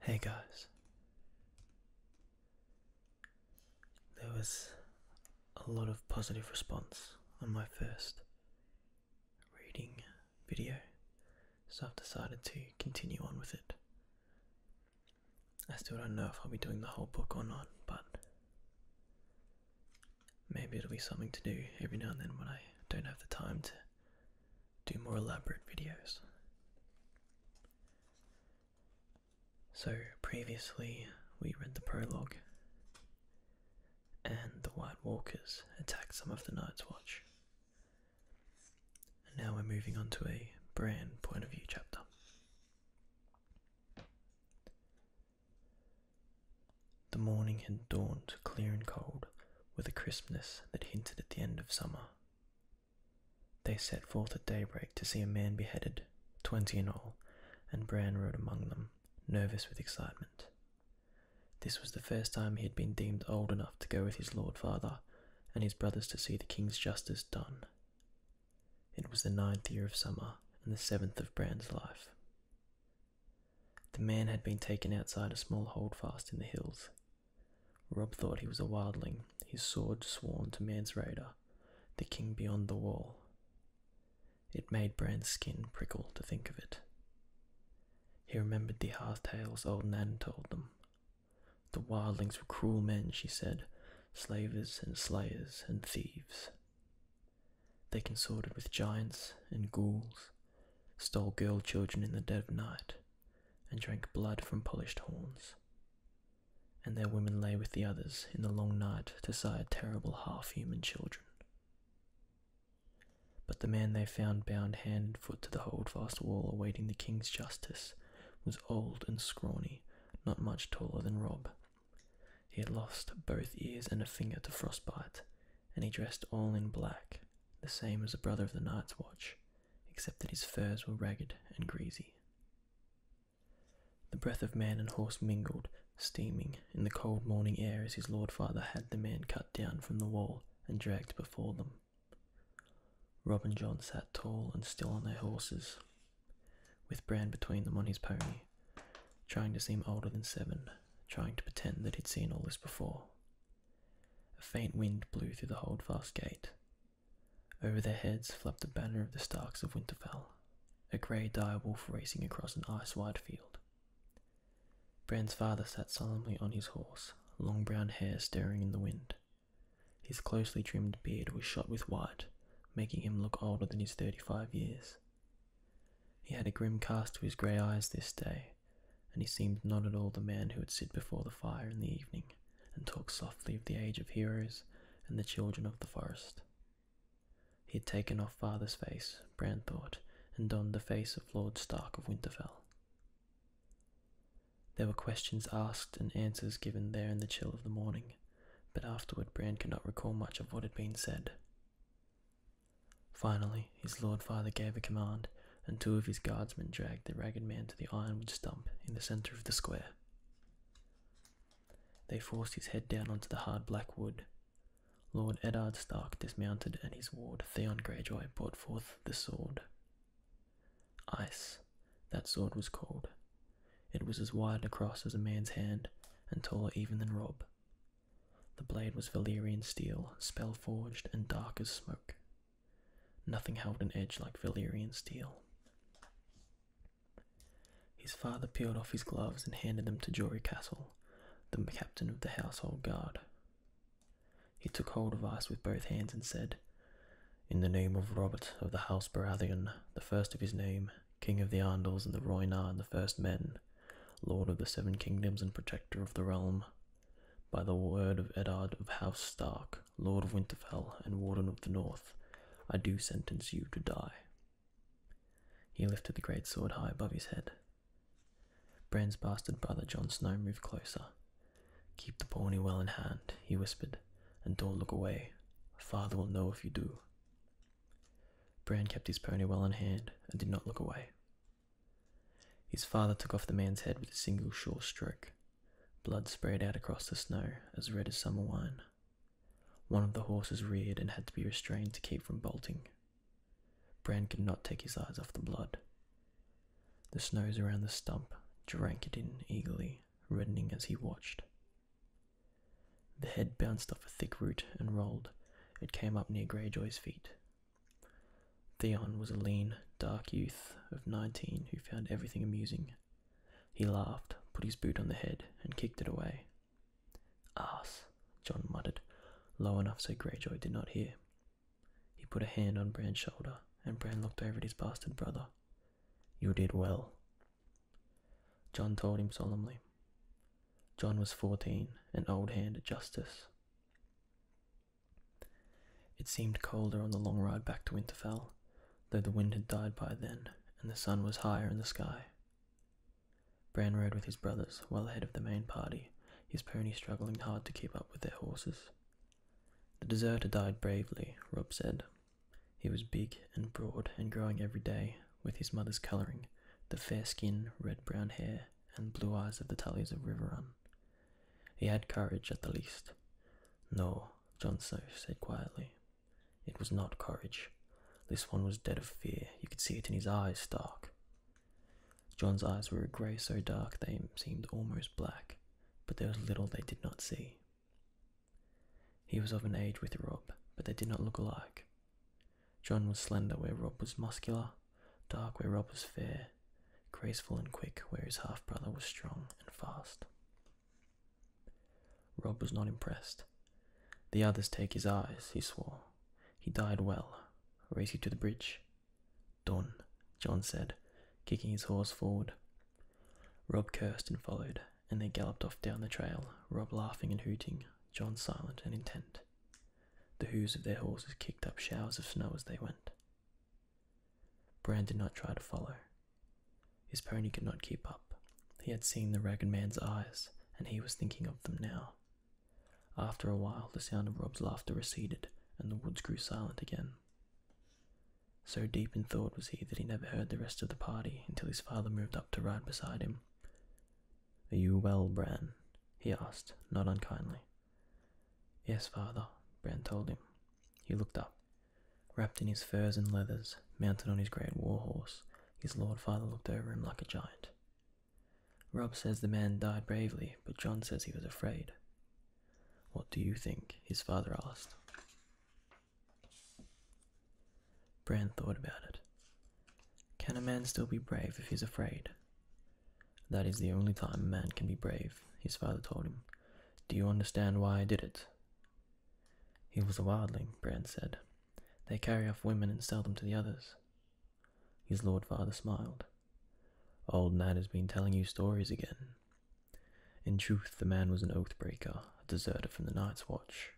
Hey guys, there was a lot of positive response on my first reading video, so I've decided to continue on with it. I still don't know if I'll be doing the whole book or not, but Maybe it'll be something to do every now and then when I don't have the time to do more elaborate videos. So, previously we read the prologue, and the White Walkers attacked some of the Night's Watch. And now we're moving on to a Bran point of view chapter. The morning had dawned clear and cold, with a crispness that hinted at the end of summer. They set forth at daybreak to see a man beheaded, twenty in all, and Bran rode among them, nervous with excitement. This was the first time he had been deemed old enough to go with his lord father and his brothers to see the king's justice done. It was the ninth year of summer and the seventh of Bran's life. The man had been taken outside a small holdfast in the hills. Rob thought he was a wildling, his sword sworn to man's raider, the king beyond the wall. It made Bran's skin prickle to think of it. He remembered the half tales old Nan told them. The wildlings were cruel men, she said, slavers and slayers and thieves. They consorted with giants and ghouls, stole girl children in the dead of night, and drank blood from polished horns. And their women lay with the others in the long night to sire terrible half human children. But the man they found bound hand and foot to the holdfast wall awaiting the king's justice was old and scrawny, not much taller than Rob, he had lost both ears and a finger to frostbite, and he dressed all in black, the same as a brother of the Night's Watch, except that his furs were ragged and greasy. The breath of man and horse mingled, steaming, in the cold morning air as his lord father had the man cut down from the wall and dragged before them. Rob and John sat tall and still on their horses, with Bran between them on his pony, trying to seem older than seven trying to pretend that he'd seen all this before. A faint wind blew through the holdfast gate. Over their heads flapped the banner of the Starks of Winterfell, a grey direwolf racing across an ice white field. Bran's father sat solemnly on his horse, long brown hair stirring in the wind. His closely trimmed beard was shot with white, making him look older than his thirty five years, he had a grim cast to his grey eyes this day, and he seemed not at all the man who would sit before the fire in the evening and talk softly of the age of heroes and the children of the forest. He had taken off father's face, Bran thought, and donned the face of Lord Stark of Winterfell. There were questions asked and answers given there in the chill of the morning, but afterward Bran could not recall much of what had been said. Finally, his lord father gave a command, and two of his guardsmen dragged the ragged man to the ironwood stump in the centre of the square. They forced his head down onto the hard black wood. Lord Edard Stark dismounted, and his ward, Theon Greyjoy, brought forth the sword. Ice, that sword was called. It was as wide across as a man's hand, and taller even than Rob, the blade was Valyrian steel, spell-forged and dark as smoke. Nothing held an edge like Valyrian steel. His father peeled off his gloves and handed them to Jory Castle, the captain of the household guard. He took hold of Ice with both hands and said, In the name of Robert of the House Baratheon, the first of his name, king of the Andals and the Roynar and the First Men, lord of the Seven Kingdoms and protector of the realm, by the word of Edard of House Stark, lord of Winterfell and warden of the North, I do sentence you to die. He lifted the great sword high above his head. Bran's bastard brother Jon Snow moved closer. Keep the pony well in hand, he whispered, and don't look away. Father will know if you do. Bran kept his pony well in hand and did not look away. His father took off the man's head with a single sure stroke. Blood sprayed out across the snow, as red as summer wine. One of the horses reared and had to be restrained to keep from bolting. Bran could not take his eyes off the blood. The snows around the stump drank it in eagerly, reddening as he watched. The head bounced off a thick root and rolled. It came up near Greyjoy's feet. Theon was a lean, dark youth of nineteen who found everything amusing. He laughed, put his boot on the head, and kicked it away. Ass, John muttered, low enough so Greyjoy did not hear. He put a hand on Bran's shoulder, and Bran looked over at his bastard brother. You did well, John told him solemnly. John was fourteen, an old hand at justice. It seemed colder on the long ride back to Winterfell, though the wind had died by then, and the sun was higher in the sky. Bran rode with his brothers, well ahead of the main party, his pony struggling hard to keep up with their horses. The deserter died bravely, Rob said. He was big and broad and growing every day, with his mother's colouring, the fair skin, red brown hair, and blue eyes of the Tullies of Riverrun. He had courage at the least. No, John So said quietly. It was not courage. This one was dead of fear. You could see it in his eyes, Stark. John's eyes were a grey so dark they seemed almost black, but there was little they did not see. He was of an age with Rob, but they did not look alike. John was slender where Rob was muscular, dark where Rob was fair, graceful and quick where his half brother was strong and fast. Rob was not impressed. The others take his eyes, he swore. He died well. Race you to the bridge. Done, John said, kicking his horse forward. Rob cursed and followed, and they galloped off down the trail, Rob laughing and hooting, John silent and intent. The hoofs of their horses kicked up showers of snow as they went. Bran did not try to follow. His pony could not keep up. He had seen the ragged man's eyes, and he was thinking of them now. After a while, the sound of Rob's laughter receded, and the woods grew silent again. So deep in thought was he that he never heard the rest of the party until his father moved up to ride beside him, are you well, Bran? he asked, not unkindly. Yes, father, Bran told him. He looked up. Wrapped in his furs and leathers, mounted on his great war horse, his lord father looked over him like a giant. Rob says the man died bravely, but John says he was afraid. What do you think? his father asked. Bran thought about it. Can a man still be brave if he's afraid? That is the only time a man can be brave, his father told him. Do you understand why I did it? He was a wildling, Bran said. They carry off women and sell them to the others. His lord father smiled. Old Nat has been telling you stories again. In truth, the man was an oath breaker, a deserter from the Night's Watch.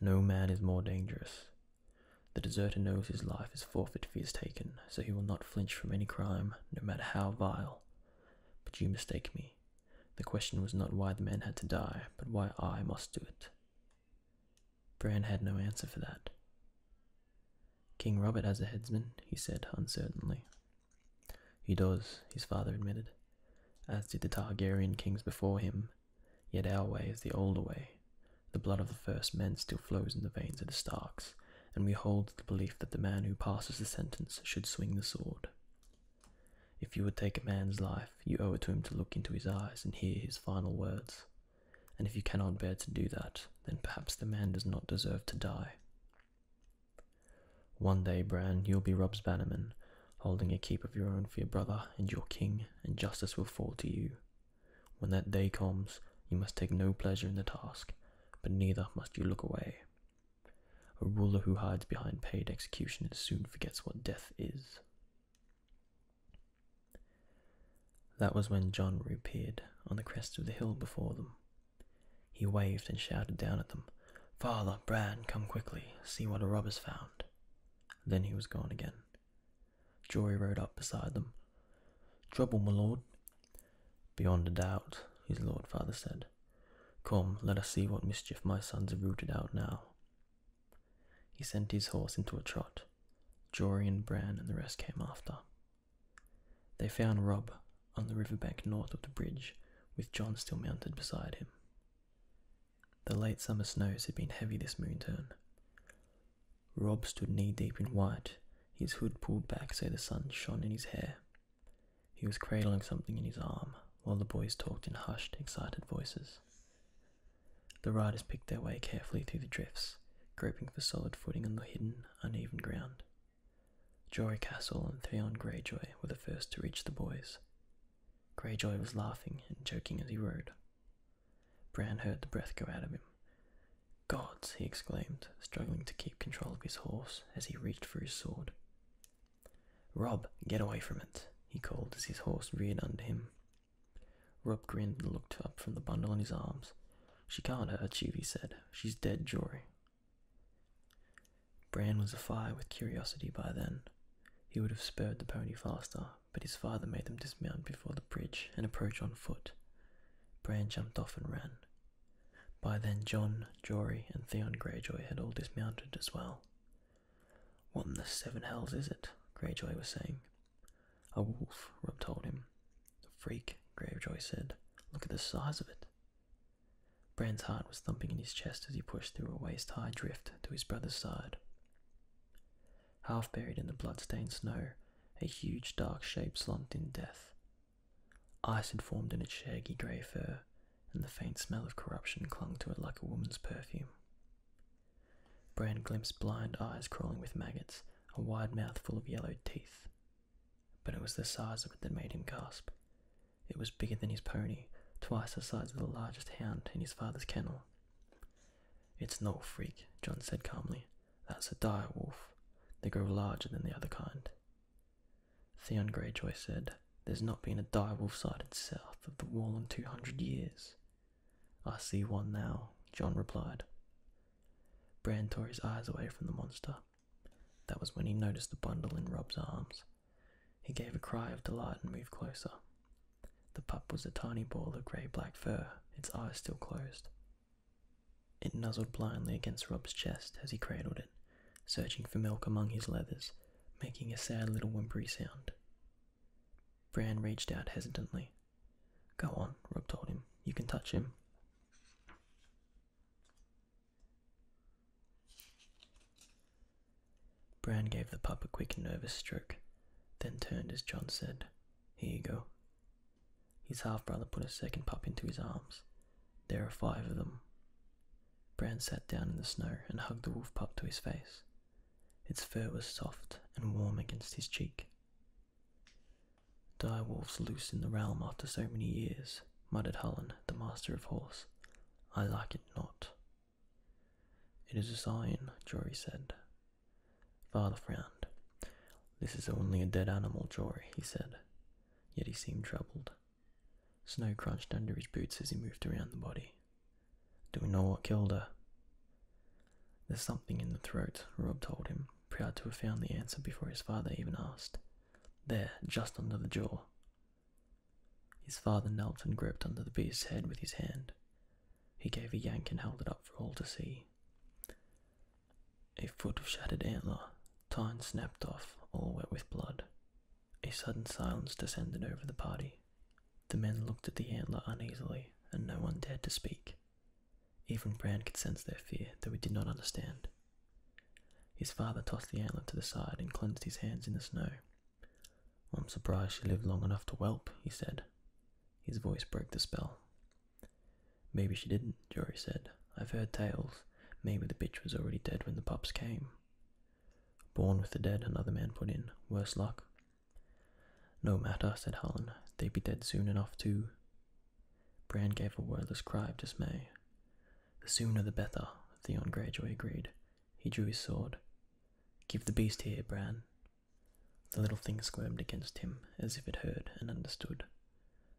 No man is more dangerous. The deserter knows his life is forfeit if he is taken, so he will not flinch from any crime, no matter how vile. But you mistake me. The question was not why the man had to die, but why I must do it. Bran had no answer for that. King Robert has a headsman, he said uncertainly. He does, his father admitted, as did the Targaryen kings before him, Yet our way is the older way. The blood of the first men still flows in the veins of the Starks, and we hold the belief that the man who passes the sentence should swing the sword. If you would take a man's life, you owe it to him to look into his eyes and hear his final words. And if you cannot bear to do that, then perhaps the man does not deserve to die. One day, Bran, you'll be Rob's bannerman, holding a keep of your own for your brother and your king, and justice will fall to you. When that day comes, you must take no pleasure in the task, but neither must you look away. A ruler who hides behind paid executioners soon forgets what death is. That was when John reappeared on the crest of the hill before them. He waved and shouted down at them, Father, Bran, come quickly, see what a robber's found. Then he was gone again. Jory rode up beside them. Trouble, my lord? Beyond a doubt, his lord father said. Come, let us see what mischief my sons have rooted out now. He sent his horse into a trot. Jory and Bran and the rest came after. They found Rob on the river bank north of the bridge, with John still mounted beside him. The late summer snows had been heavy this moonturn. Rob stood knee deep in white, his hood pulled back so the sun shone in his hair. He was cradling something in his arm while the boys talked in hushed, excited voices. The riders picked their way carefully through the drifts, groping for solid footing on the hidden, uneven ground. Jory Castle and Theon Greyjoy were the first to reach the boys, Greyjoy was laughing and joking as he rode. Bran heard the breath go out of him. Gods! he exclaimed, struggling to keep control of his horse as he reached for his sword. Rob, get away from it, he called as his horse reared under him. Rob grinned and looked up from the bundle in his arms. She can't hurt you, he said. She's dead, Jory. Bran was afire with curiosity by then. He would have spurred the pony faster, but his father made them dismount before the bridge and approach on foot. Bran jumped off and ran. By then John, Jory, and Theon Greyjoy had all dismounted as well. What in the seven hells is it? Greyjoy was saying. A wolf, Rob told him. A freak, Greyjoy said. Look at the size of it. Bran's heart was thumping in his chest as he pushed through a waist high drift to his brother's side. Half buried in the blood-stained snow, a huge dark shape slumped in death. Ice had formed in its shaggy grey fur, and the faint smell of corruption clung to it like a woman's perfume. Bran glimpsed blind eyes crawling with maggots, a wide mouth full of yellowed teeth. But it was the size of it that made him gasp. It was bigger than his pony, twice the size of the largest hound in his father's kennel. It's no freak, John said calmly. That's a dire wolf. They grow larger than the other kind. Theon Greyjoy said, There's not been a dire wolf sighted south of the wall in two hundred years. I see one now, John replied. Bran tore his eyes away from the monster. That was when he noticed the bundle in Rob's arms. He gave a cry of delight and moved closer. The pup was a tiny ball of grey black fur, its eyes still closed. It nuzzled blindly against Rob's chest as he cradled it, searching for milk among his leathers, making a sad little whimpery sound. Bran reached out hesitantly. Go on, Rob told him. You can touch him. Brown gave the pup a quick nervous stroke, then turned as John said, Here you go. His half brother put a second pup into his arms. There are five of them. Brown sat down in the snow and hugged the wolf pup to his face. Its fur was soft and warm against his cheek. Dire wolves loose in the realm after so many years, muttered Hullen, the master of horse, I like it not. It is a sign, Jory said. Father frowned. This is only a dead animal, Jory, he said. Yet he seemed troubled. Snow crunched under his boots as he moved around the body. Do we know what killed her? There's something in the throat, Rob told him, proud to have found the answer before his father even asked. There, just under the jaw. His father knelt and gripped under the beast's head with his hand. He gave a yank and held it up for all to see. A foot of shattered antler, tine snapped off, all wet with blood. A sudden silence descended over the party. The men looked at the antler uneasily, and no one dared to speak. Even Brand could sense their fear, though he did not understand. His father tossed the antler to the side and cleansed his hands in the snow. I'm surprised she lived long enough to whelp, he said. His voice broke the spell. Maybe she didn't, Jory said. I've heard tales. Maybe the bitch was already dead when the pups came. Born with the dead, another man put in. Worse luck. No matter, said Helen. They'd be dead soon enough, too. Bran gave a wordless cry of dismay. The sooner the better, Theon Greyjoy agreed. He drew his sword. Give the beast here, Bran. The little thing squirmed against him, as if it heard and understood.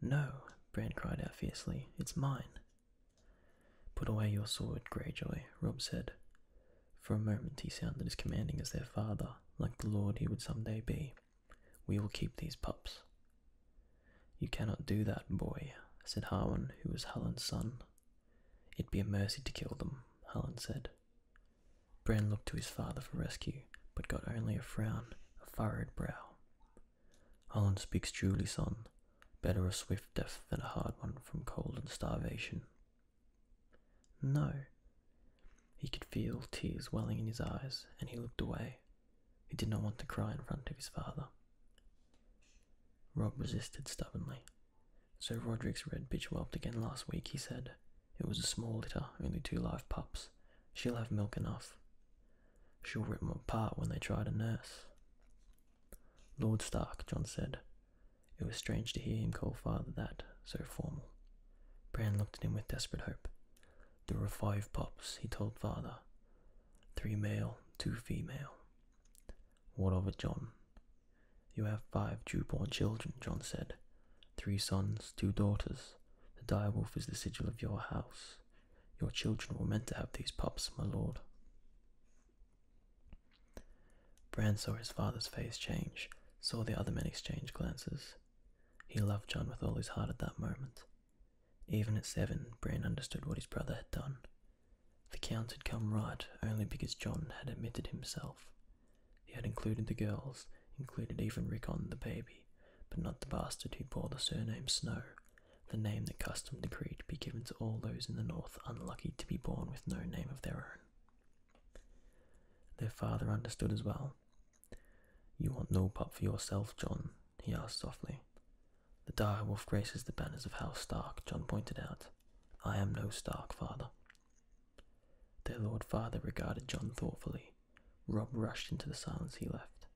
No, Bran cried out fiercely, it's mine. Put away your sword, Greyjoy, Rob said. For a moment he sounded as commanding as their father, like the lord he would some day be. We will keep these pups. You cannot do that, boy, said Harwin, who was Hallin's son. It'd be a mercy to kill them, Hallin said. Bran looked to his father for rescue, but got only a frown, a furrowed brow. Hallin speaks truly, son. Better a swift death than a hard one from cold and starvation. No. He could feel tears welling in his eyes, and he looked away, he did not want to cry in front of his father. Rob resisted stubbornly. So Roderick's red bitch whelped again last week, he said. It was a small litter, only two live pups. She'll have milk enough. She'll 'em apart when they try to nurse. Lord Stark, John said. It was strange to hear him call father that, so formal. Bran looked at him with desperate hope. There were five pups, he told father three male, two female. What of it, John? You have five Jew-born children, John said. Three sons, two daughters. The direwolf is the sigil of your house. Your children were meant to have these pups, my lord. Bran saw his father's face change, saw the other men exchange glances. He loved John with all his heart at that moment. Even at seven, Bran understood what his brother had done. The Count had come right only because John had admitted himself. He had included the girls, included even Rickon the baby, but not the bastard who bore the surname Snow, the name that custom decreed be given to all those in the North unlucky to be born with no name of their own. Their father understood as well. You want no pup for yourself, John? he asked softly. The direwolf graces the banners of House Stark, John pointed out. I am no Stark, father. Their Lord Father regarded John thoughtfully. Rob rushed into the silence he left.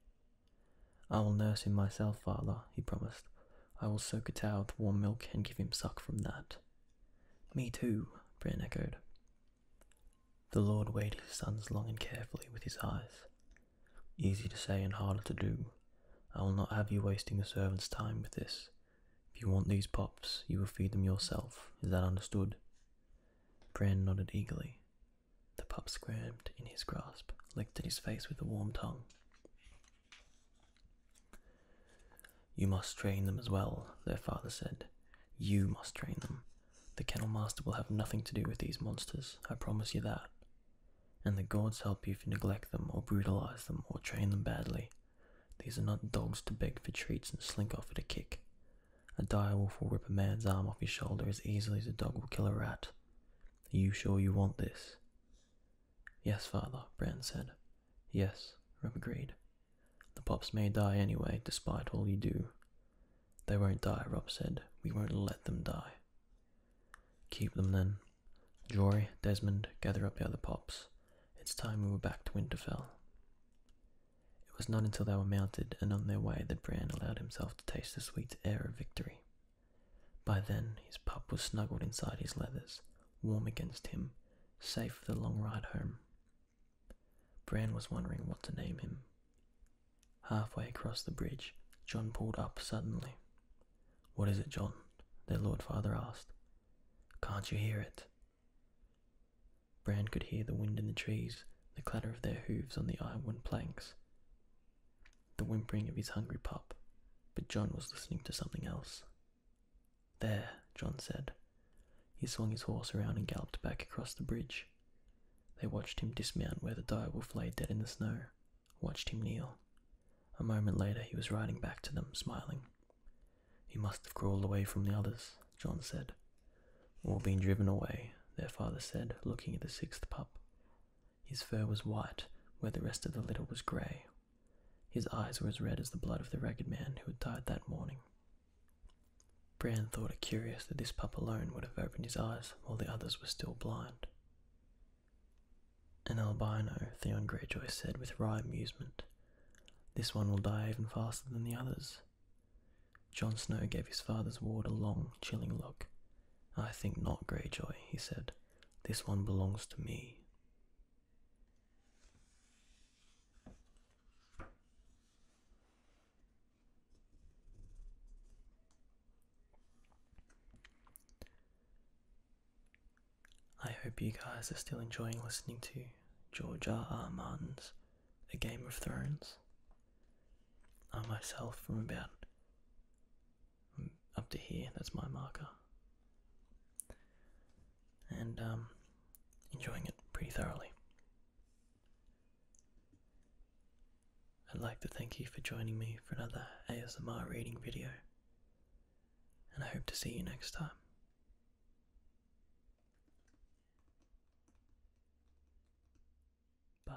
I will nurse him myself, father, he promised. I will soak a towel with warm milk and give him suck from that. Me too, Bran echoed. The Lord weighed his sons long and carefully with his eyes. Easy to say and harder to do. I will not have you wasting the servant's time with this. If you want these pups, you will feed them yourself. Is that understood? Brand nodded eagerly. The pup squirmed in his grasp, licked at his face with a warm tongue. You must train them as well, their father said. You must train them. The kennel master will have nothing to do with these monsters, I promise you that and the gods help you if you neglect them or brutalize them or train them badly. These are not dogs to beg for treats and slink off at a kick. A direwolf will rip a man's arm off his shoulder as easily as a dog will kill a rat. Are you sure you want this? Yes, father, Bran said. Yes, Rob agreed. The pups may die anyway, despite all you do. They won't die, Rob said. We won't let them die. Keep them then. Jory, Desmond, gather up the other pops. It's time we were back to Winterfell. It was not until they were mounted and on their way that Bran allowed himself to taste the sweet air of victory. By then, his pup was snuggled inside his leathers, warm against him, safe for the long ride home. Bran was wondering what to name him. Halfway across the bridge, John pulled up suddenly. What is it, John? their Lord Father asked. Can't you hear it? Brand could hear the wind in the trees, the clatter of their hoofs on the iron planks, the whimpering of his hungry pup, but John was listening to something else. There, John said. He swung his horse around and galloped back across the bridge. They watched him dismount where the direwolf lay dead in the snow, watched him kneel. A moment later he was riding back to them, smiling. He must have crawled away from the others, John said. Or been driven away, their father said, looking at the sixth pup. His fur was white, where the rest of the litter was grey. His eyes were as red as the blood of the ragged man who had died that morning. Bran thought it curious that this pup alone would have opened his eyes while the others were still blind. An albino, Theon Greyjoy said with wry amusement. This one will die even faster than the others. Jon Snow gave his father's ward a long, chilling look. I think not, Greyjoy, he said. This one belongs to me. I hope you guys are still enjoying listening to George R. R. Martin's A Game of Thrones. I myself, from about up to here, that's my marker, and um, enjoying it pretty thoroughly. I'd like to thank you for joining me for another ASMR reading video, and I hope to see you next time. Bye.